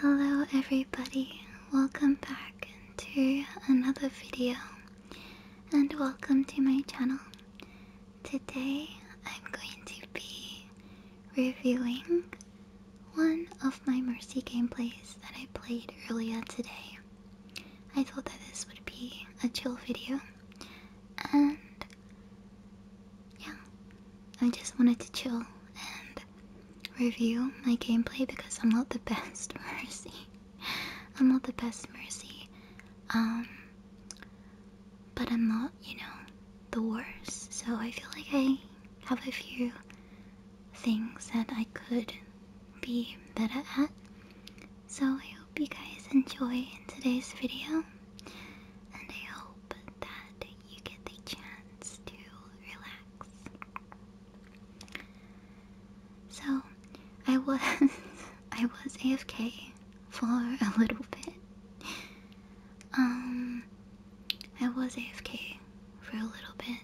Hello everybody, welcome back to another video and welcome to my channel. Today I'm going to be reviewing one of my Mercy gameplays that I played earlier today. I thought that this would be a chill video, and yeah, I just wanted to chill and review my gameplay because I'm not the best Mercy. I'm not the best Mercy, um, but I'm not, you know, the worst. So I feel like I have a few things that I could be better at. So I hope you guys enjoy today's video, and I hope that you get the chance to relax. So I was I was AFK for a little bit. Um, I was AFK for a little bit,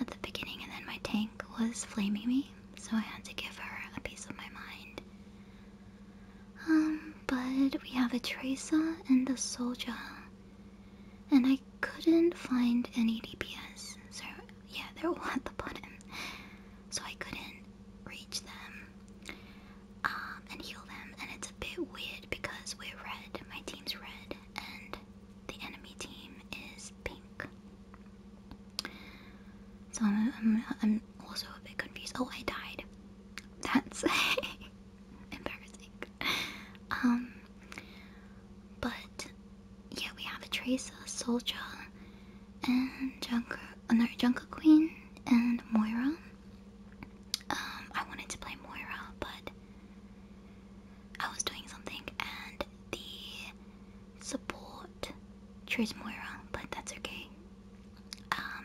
at the beginning, and then my tank was flaming me, so I had to give her a piece of my mind. Um, but we have a Tracer and a Soldier, and I couldn't find any DPS, so yeah, they're at the bottom, so I couldn't reach them um, and heal them, and it's a bit weird because we're red, my team's red, and the enemy team is pink. So I'm, also a bit confused. Oh, I died. That's embarrassing. Um, but yeah, we have a Tracer, Soldier, and Junker, oh no, Junker Queen, and Moira. Um, I wanted to play Moira, but I was doing something and the support chose Moira, but that's okay. Um,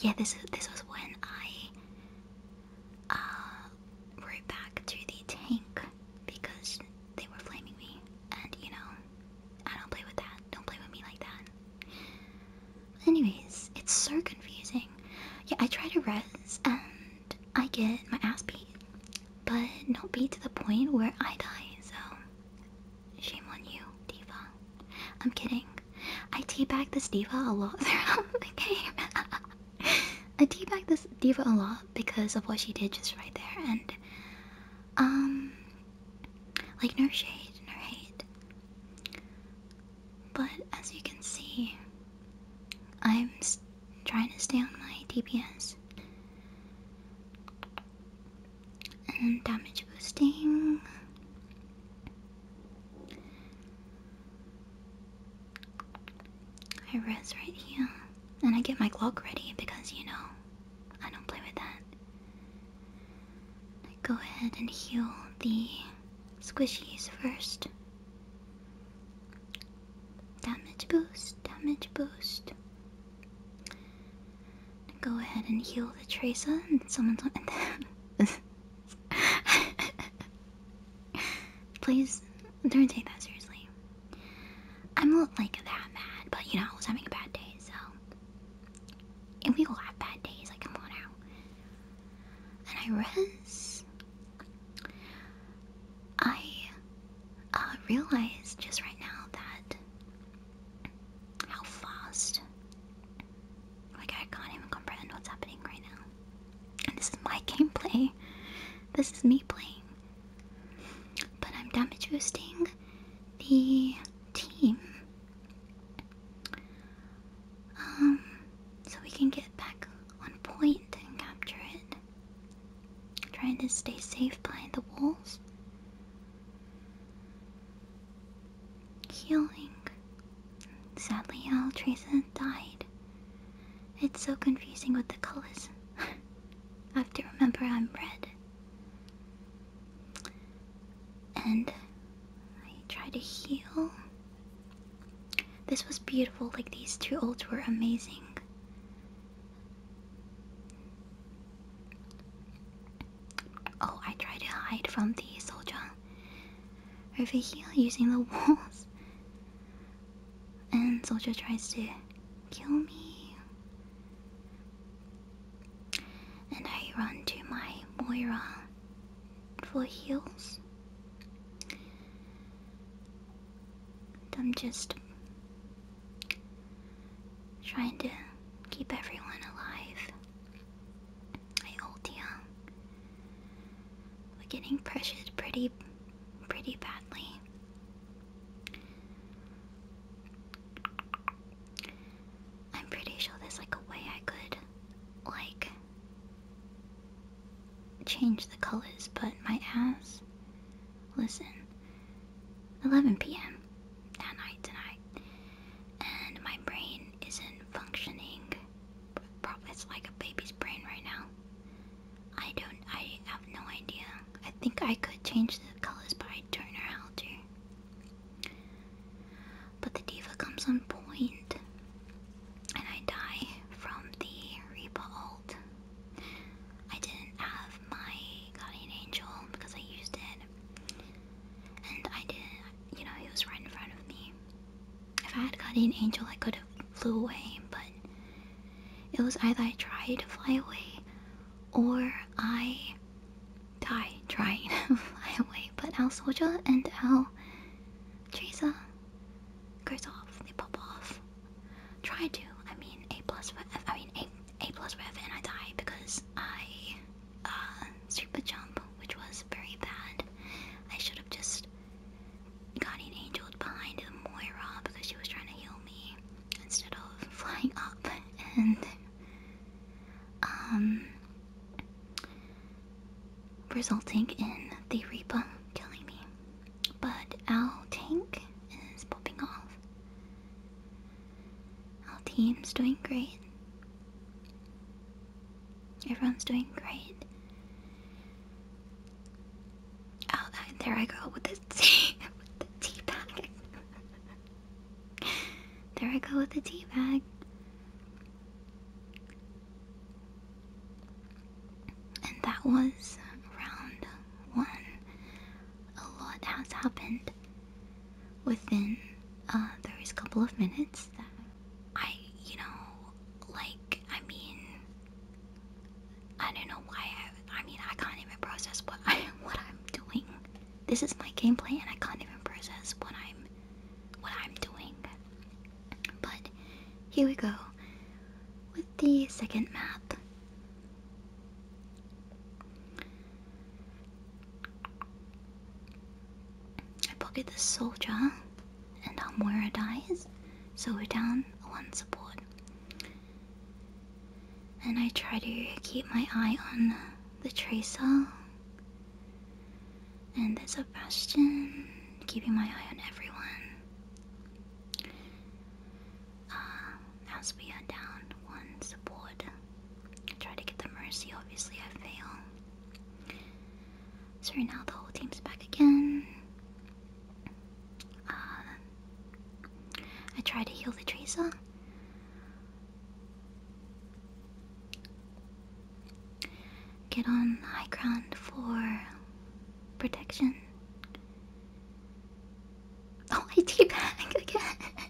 yeah, this this was when I uh, rode back to the tank because they were flaming me, and you know, I don't play with that. Don't play with me like that. anyways, it's so confusing. Yeah, I tried to res and I get my ass beat, but not beat to the point where I die, so shame on you, Diva. I'm kidding. I teabag this Diva a lot throughout the game. I teabag this Diva a lot because of what she did just right there, and um, like no shade, no hate. But as you can see, I'm trying to stay on my DPS. And damage boosting. I rest right here. And I get my clock ready because, you know, I don't play with that. go ahead and heal the squishies first. Damage boost, damage boost. Go ahead and heal the Tracer and someone's. them. Please don't take that seriously. I'm not like that mad, but you know, I was having a bad day, so. And we all have bad days, like, come on out and I rest, I uh, realize just right now that how fast. Like, I can't even comprehend what's happening right now. And this is my gameplay. This is me playing. But I'm damage boosting the team. Um, so we can get back on point and capture it. Trying to stay safe behind the walls. Healing. Sadly, Altreza died. It's so confusing with the colors. I have to remember I'm red. And I try to heal. This was beautiful, like these two olds were amazing. Oh, I tried to hide from the soldier over here using the walls. And soldier tries to kill me. And I run to my Moira for heels. I'm just trying to keep everyone alive. I ult you. We're getting pressured pretty, pretty badly. I'm pretty sure there's like a way I could, like, change the colors, but my ass. Listen. 11 p.m. at night tonight. And my brain isn't functioning. Probably it's like a baby's brain right now. I don't, I have no idea. I think I could change the colors, but I don't know how but the diva comes on point, and I die from the Reaper I didn't have my Guardian Angel because I used it, and I didn't, you know, he was right in front of me. If I had Guardian Angel, I could have flew away, but it was either I tried to fly away or I die trying to fly away, but Al soldier and Al Teresa goes off. They pop off. Try to. I mean, A plus for I mean, A A plus for and I die because I uh, super jump, which was very bad. I should have just gotten angeled behind the Moira because she was trying to heal me instead of flying up and um resulting in the Reaper killing me. But our tank is popping off. Our team's doing great. Everyone's doing great. Oh, there I go with the tea, with the tea bag. there I go with the tea bag. And that was round one. A lot has happened within uh, those couple of minutes I, you know, like, I mean, I don't know why I, I mean, I can't even process what, I, what I'm doing. This is my gameplay and I can't even process what I'm what I'm doing. But here we go with the second map. I pocket the soldier and Amora dies, so we're down one support. And I try to keep my eye on the tracer and there's a bastion keeping my eye on everyone. Uh, as we are down one support, I try to get the mercy, obviously, I fail. So right now the whole team's back again. Uh, I try to heal the Tracer. Get on high ground for protection. Oh, I teabag again.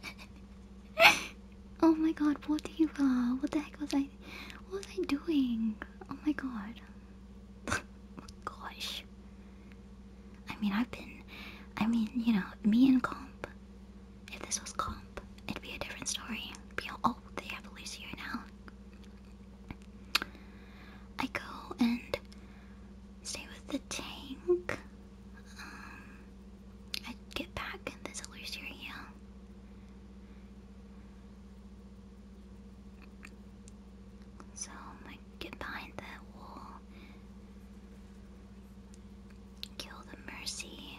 oh my god, what do you, uh, what the heck was I, what was I doing? Oh my god. Gosh. I mean, I've been, I mean, you know, me and Comp, if this was comp, it'd be a different story. oh, they have a now. I go and stay with the tank. Um, I get back and there's a So I get behind that wall. Kill the mercy.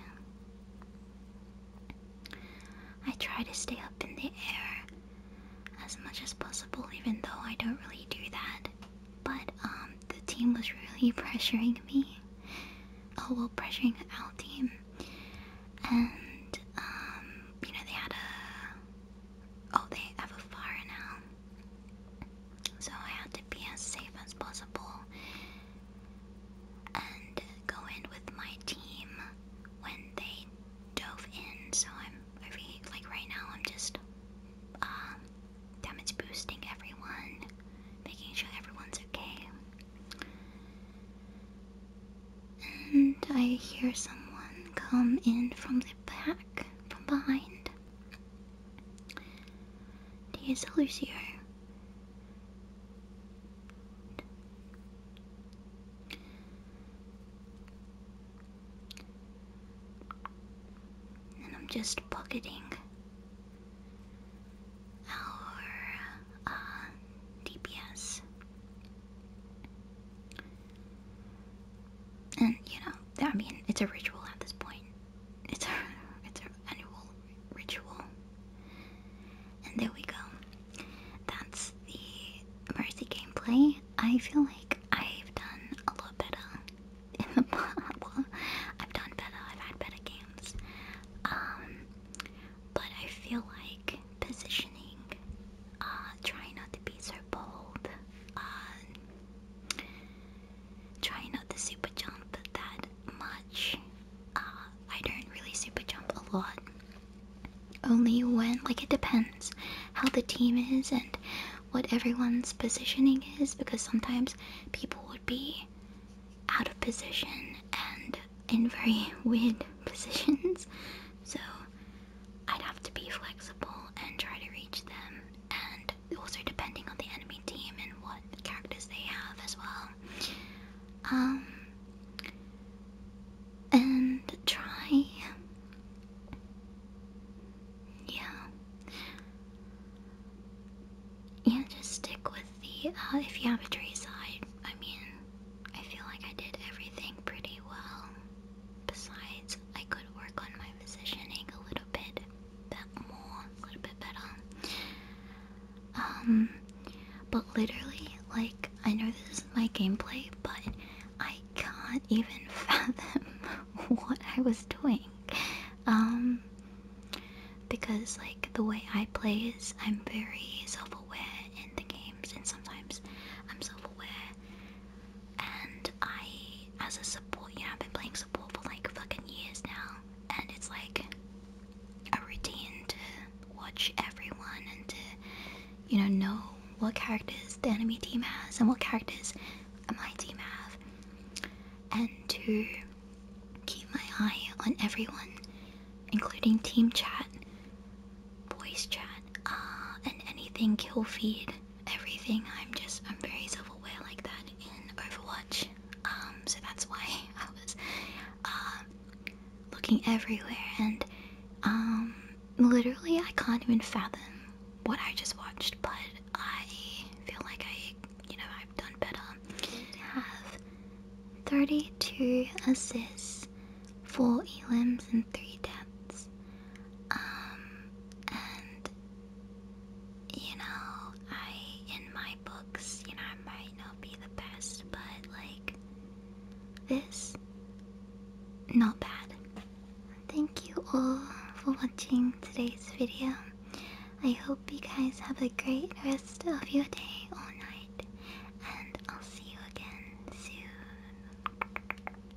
I try to stay up in the air as much as possible, even though I don't really do that. But um, the team was really pressuring me. Oh well, pressuring the our team, and um, you know they had a. Oh, they have a fire now. So I had to be as safe as possible and go in with my team when they dove in. So I'm over here, like right now, I'm just uh, damage boosting everyone, making sure everyone's okay. And I hear someone come in from the back, from behind. There's Lucio. And I'm just pocketing our uh, DPS. And you know, I mean, it's a ritual at this point. It's our it's our annual ritual. And there we go. That's the Mercy gameplay. I feel like I've done a lot better in the past. Well, I've done better. I've had better games. Um, but I feel like positioning, uh, trying not to be so bold, uh, try not to super jump that much. Uh, I don't really super jump a lot. Only when, like, it depends how the team is and what everyone's positioning is because sometimes people would be out of position and in very weird positions. So I'd have to be flexible and try to reach them and and also depending on the enemy team and what characters they have as well. Um, and try. Yeah. Yeah, just stick with the. Uh, if you have a tree side, I mean, I feel like I did everything pretty well. Besides, I could work on my positioning a little bit a little bit better. Um, but literally, like, I know this is my gameplay, but I can't even fathom what I was doing. Um, because, like, the way I play is I'm very self aware in the games, and sometimes I'm self aware and I, as a support, yeah, I've been playing support for like fucking years now, and it's like a routine to watch everyone and to, you know, know what characters the enemy team has and what characters my team have, and to keep my eye on everyone, including team chat, voice chat, uh, and anything kill feed everything. I'm just I'm very self-aware like that in Overwatch. Um, so that's why I was uh, looking everywhere and um, literally I can't even fathom what I just watched, but I feel like I you know I've done better. I have 32 assists, 4 elims and three deaths. Um, and you know, I in my books, you know, I might not be the best, but like this, not bad. Thank you all for watching today's video. I hope you guys have a great rest of your day or night, and I'll see you again soon.